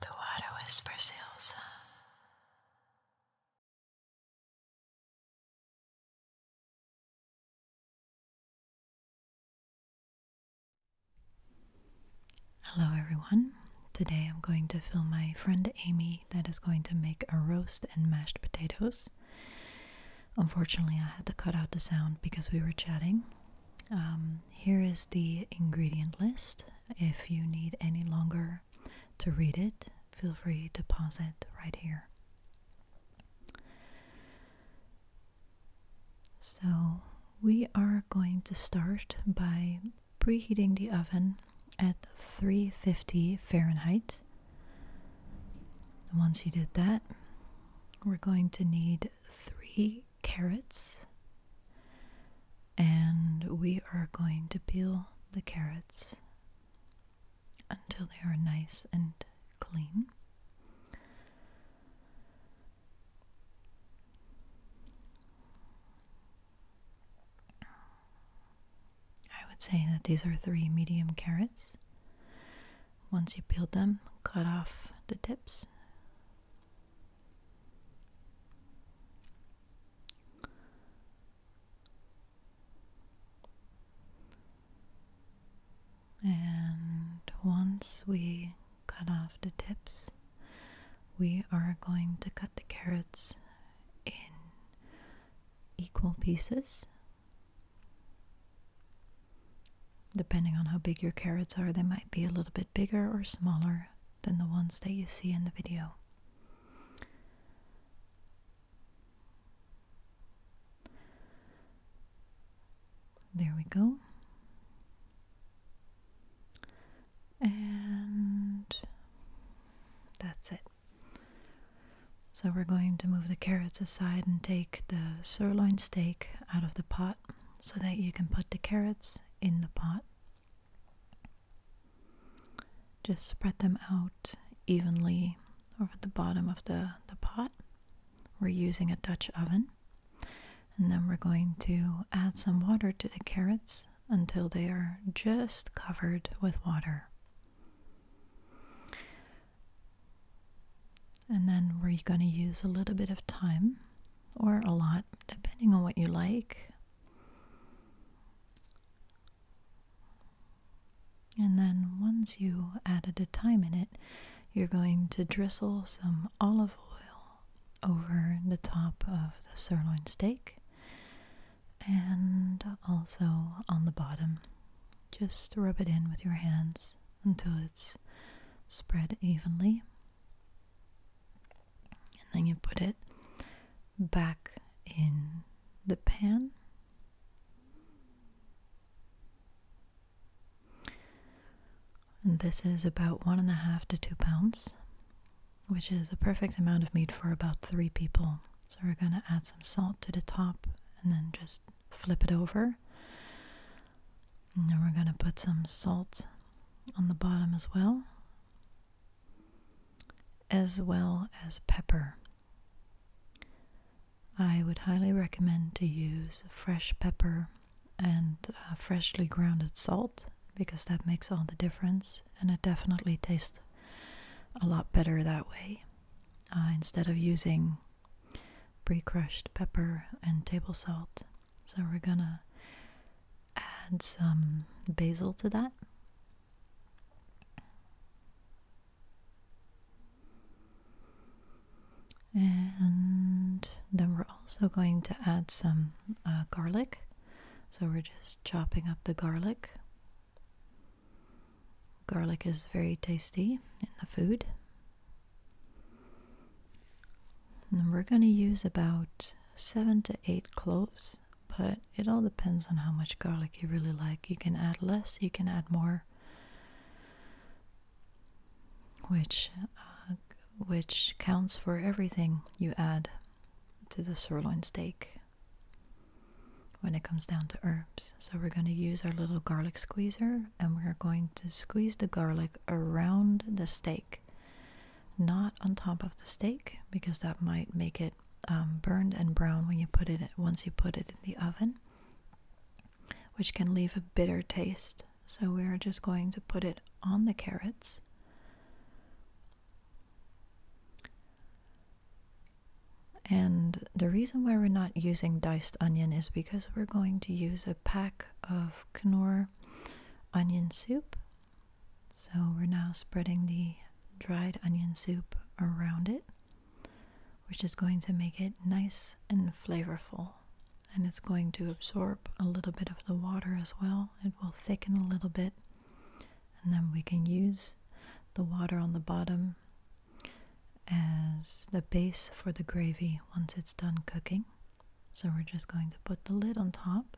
The water whispers Elsa. Hello, everyone. Today I'm going to film my friend Amy that is going to make a roast and mashed potatoes. Unfortunately, I had to cut out the sound because we were chatting. Um, here is the ingredient list. If you need any longer to read it, feel free to pause it right here. So, we are going to start by preheating the oven at 350 Fahrenheit. Once you did that, we're going to need three carrots and we are going to peel the carrots until they are nice and clean. I would say that these are three medium carrots. Once you peel them, cut off the tips and once we cut off the tips, we are going to cut the carrots in equal pieces. Depending on how big your carrots are, they might be a little bit bigger or smaller than the ones that you see in the video. There we go. And that's it. So we're going to move the carrots aside and take the sirloin steak out of the pot so that you can put the carrots in the pot. Just spread them out evenly over the bottom of the, the pot. We're using a Dutch oven. And then we're going to add some water to the carrots until they are just covered with water. And then we're going to use a little bit of thyme or a lot, depending on what you like. And then once you added a time in it, you're going to drizzle some olive oil over the top of the sirloin steak and also on the bottom. Just rub it in with your hands until it's spread evenly and then you put it back in the pan. And this is about one and a half to two pounds, which is a perfect amount of meat for about three people. So we're going to add some salt to the top and then just flip it over. And then we're going to put some salt on the bottom as well, as well as pepper. I would highly recommend to use fresh pepper and uh, freshly grounded salt because that makes all the difference and it definitely tastes a lot better that way uh, instead of using pre crushed pepper and table salt. So we're gonna add some basil to that. And then we're also going to add some uh, garlic. So we're just chopping up the garlic. Garlic is very tasty in the food we're going to use about seven to eight cloves, but it all depends on how much garlic you really like. You can add less, you can add more, which uh, which counts for everything you add to the sirloin steak when it comes down to herbs. So we're going to use our little garlic squeezer and we're going to squeeze the garlic around the steak, not on top of the steak, because that might make it um, burned and brown when you put it once you put it in the oven, which can leave a bitter taste. So we are just going to put it on the carrots. And the reason why we're not using diced onion is because we're going to use a pack of Knorr onion soup. So we're now spreading the dried onion soup around it, which is going to make it nice and flavorful. And it's going to absorb a little bit of the water as well. It will thicken a little bit. And then we can use the water on the bottom as the base for the gravy once it's done cooking. So we're just going to put the lid on top.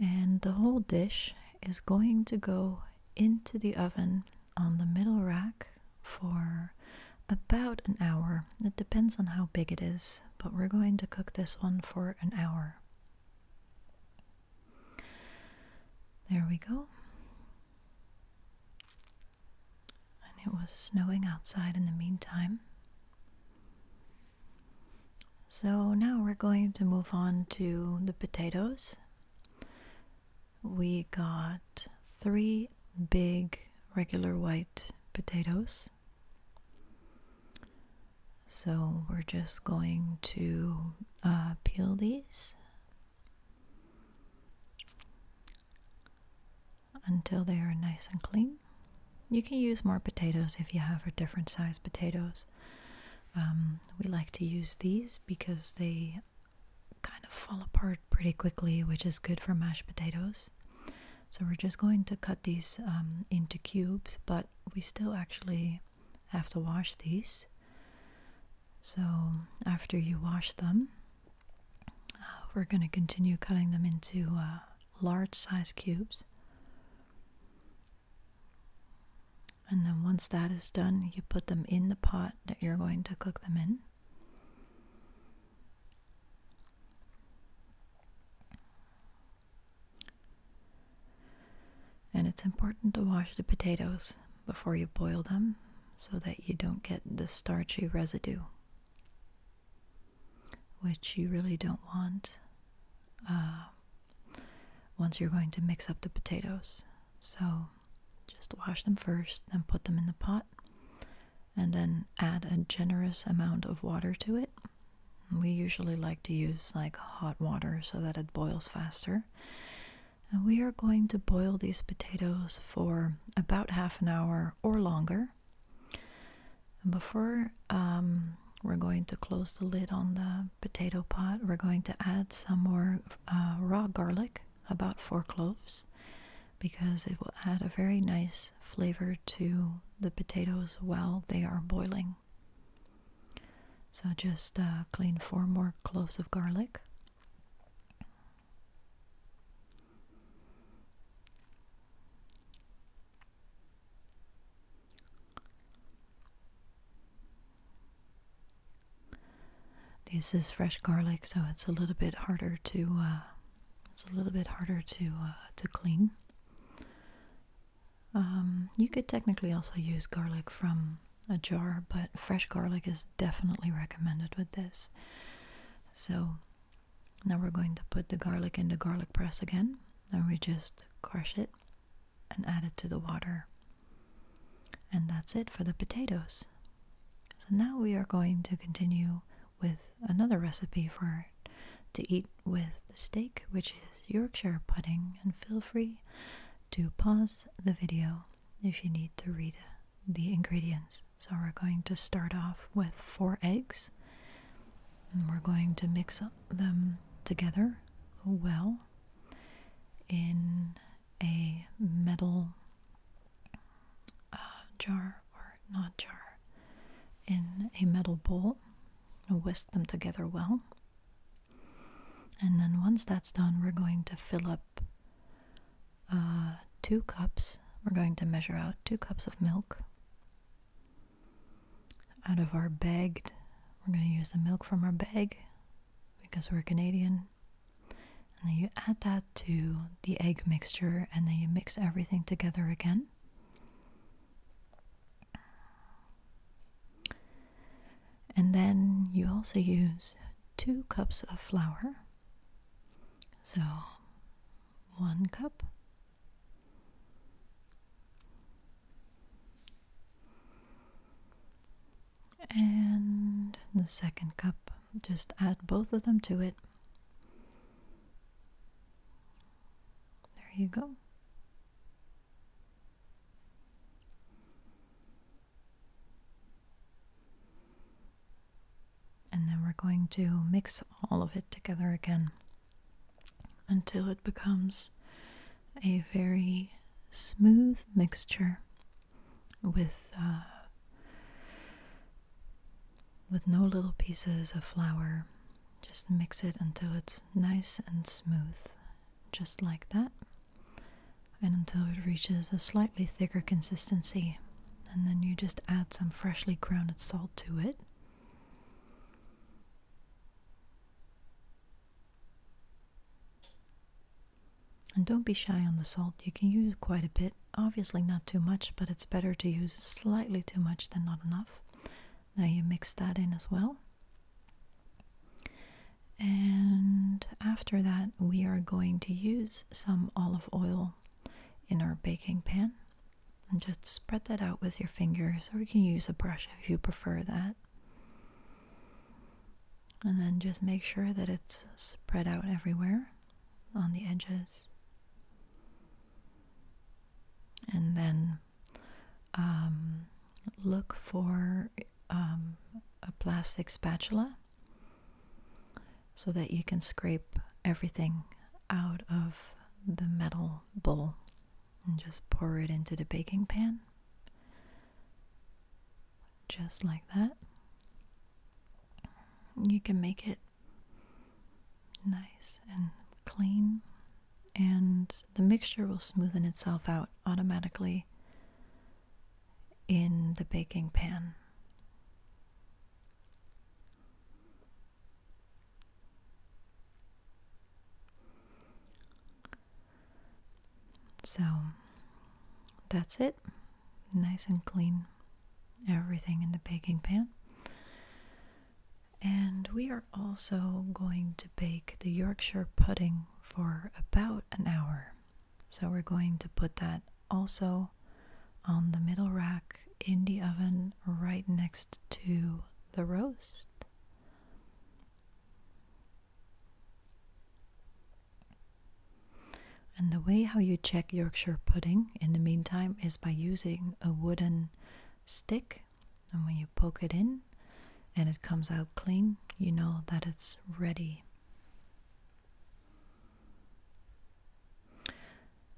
And the whole dish is going to go into the oven on the middle rack for about an hour. It depends on how big it is, but we're going to cook this one for an hour. There we go. And it was snowing outside in the meantime. So now we're going to move on to the potatoes. We got three big regular white potatoes. So we're just going to uh, peel these until they are nice and clean. You can use more potatoes if you have a different size potatoes. Um, we like to use these because they kind of fall apart pretty quickly, which is good for mashed potatoes. So we're just going to cut these um, into cubes, but we still actually have to wash these. So after you wash them, uh, we're going to continue cutting them into uh, large size cubes. And then once that is done, you put them in the pot that you're going to cook them in. And it's important to wash the potatoes before you boil them so that you don't get the starchy residue, which you really don't want uh, once you're going to mix up the potatoes. So just wash them first, then put them in the pot, and then add a generous amount of water to it we usually like to use like hot water so that it boils faster. And we are going to boil these potatoes for about half an hour or longer. before um, we're going to close the lid on the potato pot, we're going to add some more uh, raw garlic, about four cloves, because it will add a very nice flavor to the potatoes while they are boiling. So just uh, clean four more cloves of garlic. This is fresh garlic, so it's a little bit harder to uh, it's a little bit harder to uh, to clean. Um, you could technically also use garlic from a jar, but fresh garlic is definitely recommended with this. So now we're going to put the garlic in the garlic press again, and we just crush it and add it to the water. And that's it for the potatoes. So now we are going to continue with another recipe for to eat with the steak, which is Yorkshire pudding, and feel free to pause the video if you need to read the ingredients. So, we're going to start off with four eggs, and we're going to mix them together well in a metal uh, jar or not jar in a metal bowl whisk them together well. And then once that's done, we're going to fill up uh, two cups. We're going to measure out two cups of milk out of our bagged. We're going to use the milk from our bag because we're Canadian. And then you add that to the egg mixture and then you mix everything together again. And then you also use two cups of flour. So, one cup. And the second cup, just add both of them to it. There you go. And then we're going to mix all of it together again until it becomes a very smooth mixture with uh, with no little pieces of flour. Just mix it until it's nice and smooth, just like that, and until it reaches a slightly thicker consistency. And then you just add some freshly ground salt to it. And don't be shy on the salt. You can use quite a bit. Obviously, not too much, but it's better to use slightly too much than not enough. Now you mix that in as well. And after that, we are going to use some olive oil in our baking pan. And just spread that out with your fingers, or you can use a brush if you prefer that. And then just make sure that it's spread out everywhere on the edges and then um, look for um, a plastic spatula so that you can scrape everything out of the metal bowl and just pour it into the baking pan just like that you can make it nice and clean, and the mixture will smoothen itself out automatically in the baking pan. So that's it. Nice and clean. Everything in the baking pan. And we are also going to bake the Yorkshire pudding for about an hour. So we're going to put that also on the middle rack in the oven right next to the roast. And the way how you check Yorkshire pudding in the meantime is by using a wooden stick, and when you poke it in and it comes out clean, you know that it's ready.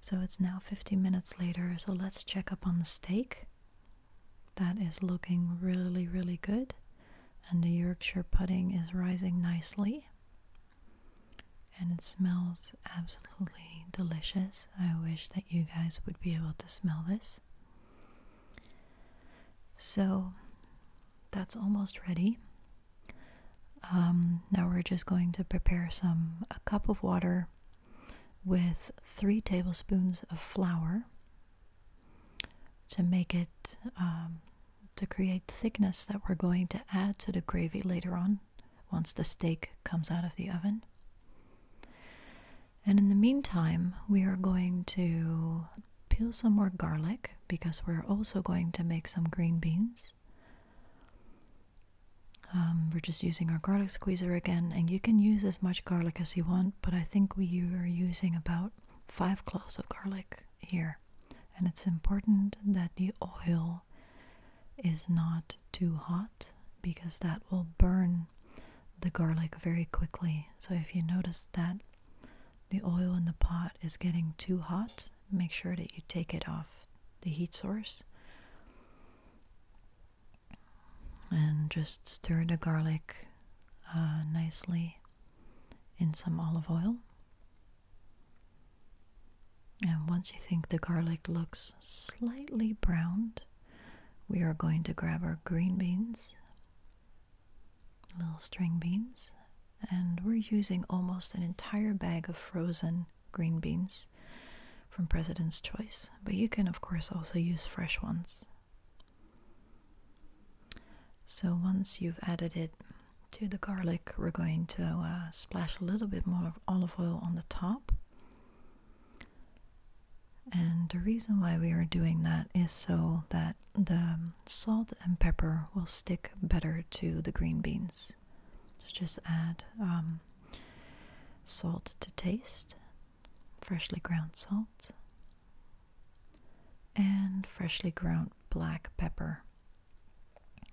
So it's now 50 minutes later, so let's check up on the steak. That is looking really, really good, and the Yorkshire pudding is rising nicely and it smells absolutely delicious. I wish that you guys would be able to smell this. So that's almost ready. Um, now we're just going to prepare some a cup of water with three tablespoons of flour to make it um, to create thickness that we're going to add to the gravy later on once the steak comes out of the oven. And in the meantime, we are going to peel some more garlic because we're also going to make some green beans. Um, we're just using our garlic squeezer again, and you can use as much garlic as you want, but I think we are using about five cloves of garlic here. And it's important that the oil is not too hot because that will burn the garlic very quickly. So if you notice that the oil in the pot is getting too hot, make sure that you take it off the heat source and just stir the garlic uh, nicely in some olive oil. And once you think the garlic looks slightly browned, we are going to grab our green beans, little string beans, and we're using almost an entire bag of frozen green beans from President's Choice, but you can, of course, also use fresh ones. So once you've added it to the garlic, we're going to uh, splash a little bit more olive oil on the top. And the reason why we are doing that is so that the salt and pepper will stick better to the green beans. So just add um, salt to taste, freshly ground salt, and freshly ground black pepper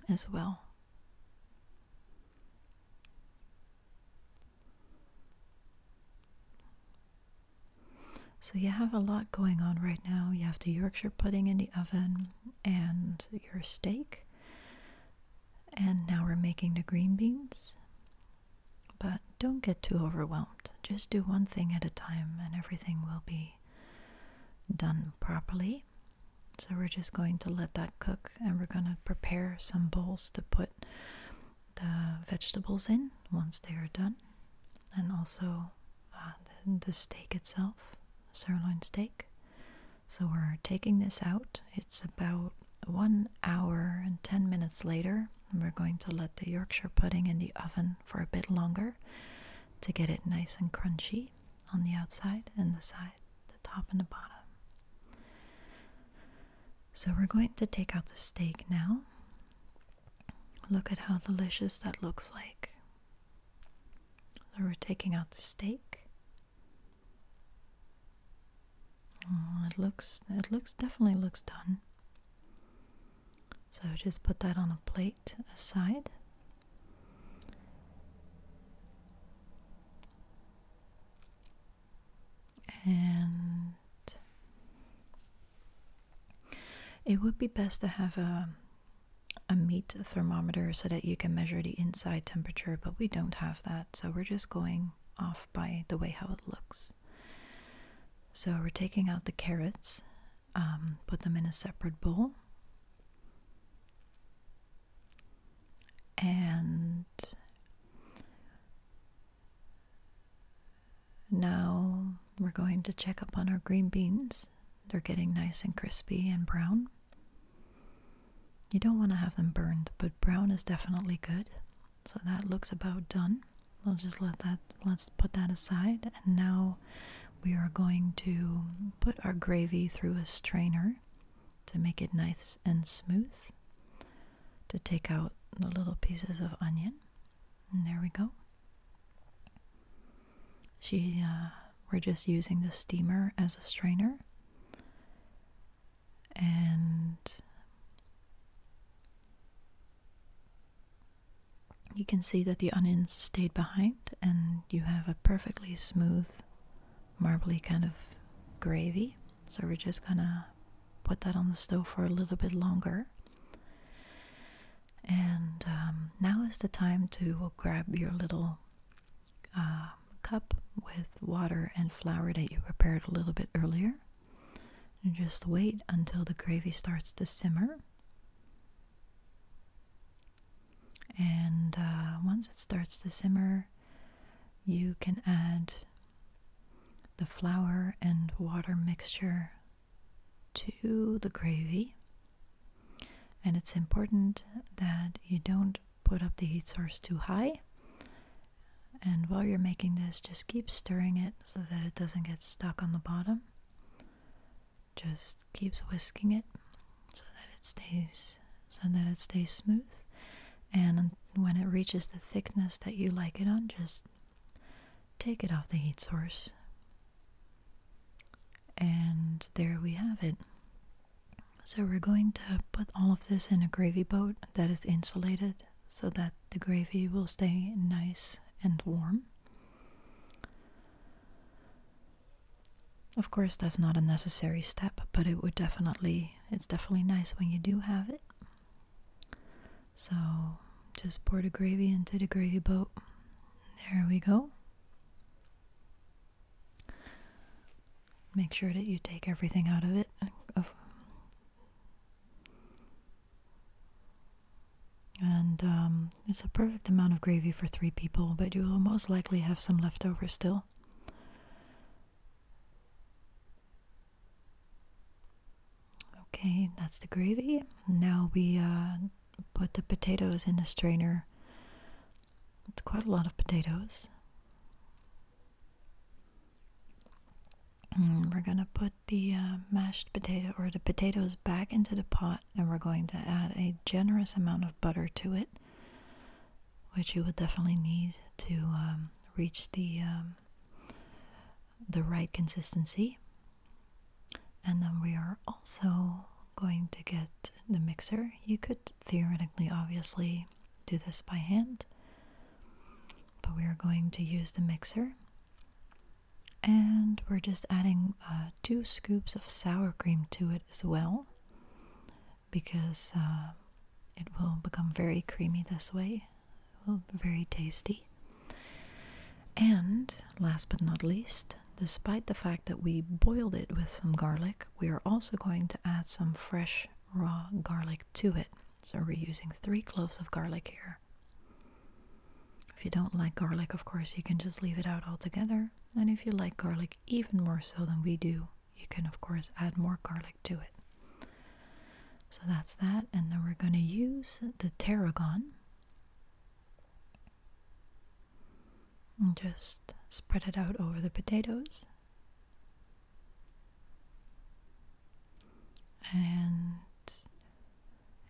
as well. So you have a lot going on right now. You have the Yorkshire pudding in the oven and your steak. And now we're making the green beans. But don't get too overwhelmed. Just do one thing at a time and everything will be done properly. So we're just going to let that cook and we're going to prepare some bowls to put the vegetables in once they are done and also uh, the steak itself, sirloin steak. So we're taking this out. It's about one hour and 10 minutes later. And we're going to let the Yorkshire pudding in the oven for a bit longer to get it nice and crunchy on the outside and the side, the top and the bottom. So we're going to take out the steak now. Look at how delicious that looks like. So we're taking out the steak. Oh, it looks it looks definitely looks done. So just put that on a plate aside and it would be best to have a a meat thermometer so that you can measure the inside temperature, but we don't have that, so we're just going off by the way how it looks. So we're taking out the carrots, um, put them in a separate bowl, and now we're going to check up on our green beans. They're getting nice and crispy and brown. You don't want to have them burned, but brown is definitely good. So that looks about done. I'll just let that, let's put that aside. And now we are going to put our gravy through a strainer to make it nice and smooth, to take out the little pieces of onion. And there we go. She, uh, we're just using the steamer as a strainer. And you can see that the onions stayed behind, and you have a perfectly smooth, marbly kind of gravy. So we're just gonna put that on the stove for a little bit longer. And um, now is the time to grab your little uh, cup with water and flour that you prepared a little bit earlier. And just wait until the gravy starts to simmer. And uh, once it starts to simmer, you can add the flour and water mixture to the gravy. And it's important that you don't put up the heat source too high. And while you're making this, just keep stirring it so that it doesn't get stuck on the bottom just keeps whisking it so that it stays so that it stays smooth and when it reaches the thickness that you like it on just take it off the heat source and there we have it so we're going to put all of this in a gravy boat that is insulated so that the gravy will stay nice and warm of course, that's not a necessary step, but it would definitely, it's definitely nice when you do have it. So just pour the gravy into the gravy boat. There we go. Make sure that you take everything out of it. And um, it's a perfect amount of gravy for three people, but you will most likely have some left over still. Okay, that's the gravy. Now we uh, put the potatoes in the strainer. It's quite a lot of potatoes. we're gonna put the uh, mashed potato or the potatoes back into the pot and we're going to add a generous amount of butter to it, which you will definitely need to um, reach the um, the right consistency. And then we are also going to get the mixer. You could theoretically, obviously, do this by hand, but we are going to use the mixer. And we're just adding uh, two scoops of sour cream to it as well because uh, it will become very creamy this way. very tasty. And last but not least, despite the fact that we boiled it with some garlic, we are also going to add some fresh raw garlic to it. So we're using three cloves of garlic here. If you don't like garlic, of course, you can just leave it out altogether. And if you like garlic even more so than we do, you can, of course, add more garlic to it. So that's that. And then we're going to use the tarragon. And just spread it out over the potatoes. And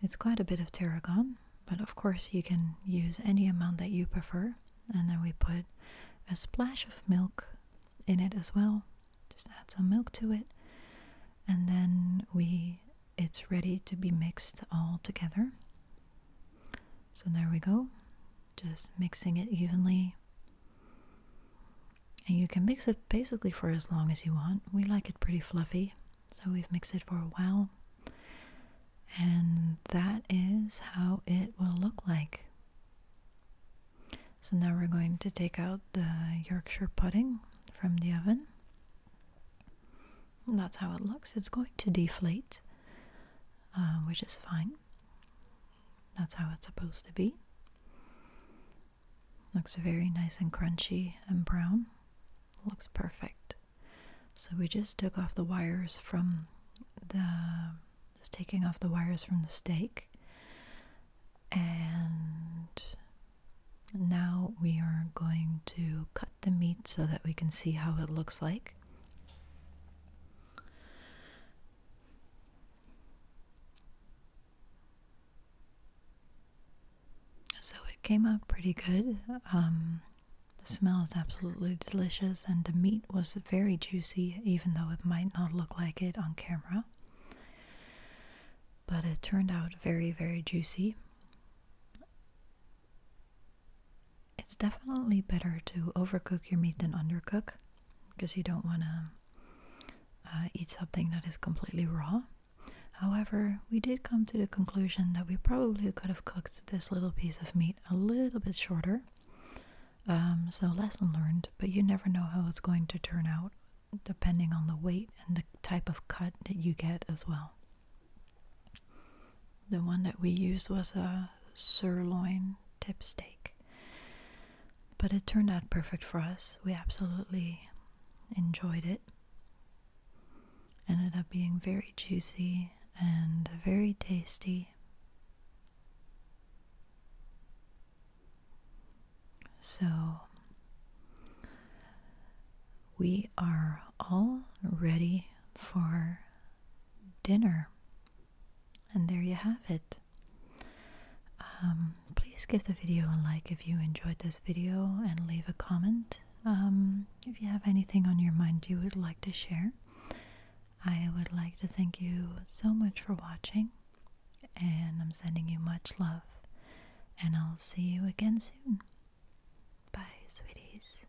it's quite a bit of tarragon, but of course you can use any amount that you prefer. And then we put a splash of milk in it as well. Just add some milk to it. And then we it's ready to be mixed all together. So there we go. Just mixing it evenly. And you can mix it basically for as long as you want. We like it pretty fluffy, so we've mixed it for a while. And that is how it will look like. So now we're going to take out the Yorkshire pudding from the oven. that's how it looks. It's going to deflate, uh, which is fine. That's how it's supposed to be. Looks very nice and crunchy and brown looks perfect. So we just took off the wires from the just taking off the wires from the stake and now we are going to cut the meat so that we can see how it looks like. So it came out pretty good. Um, the smell is absolutely delicious, and the meat was very juicy, even though it might not look like it on camera. But it turned out very, very juicy. It's definitely better to overcook your meat than undercook because you don't want to uh, eat something that is completely raw. However, we did come to the conclusion that we probably could have cooked this little piece of meat a little bit shorter. Um, so, lesson learned, but you never know how it's going to turn out depending on the weight and the type of cut that you get as well. The one that we used was a sirloin tip steak, but it turned out perfect for us. We absolutely enjoyed it. Ended up being very juicy and very tasty. So, we are all ready for dinner. And there you have it. Um, please give the video a like if you enjoyed this video and leave a comment um, if you have anything on your mind you would like to share. I would like to thank you so much for watching, and I'm sending you much love, and I'll see you again soon. Bye, sweeties.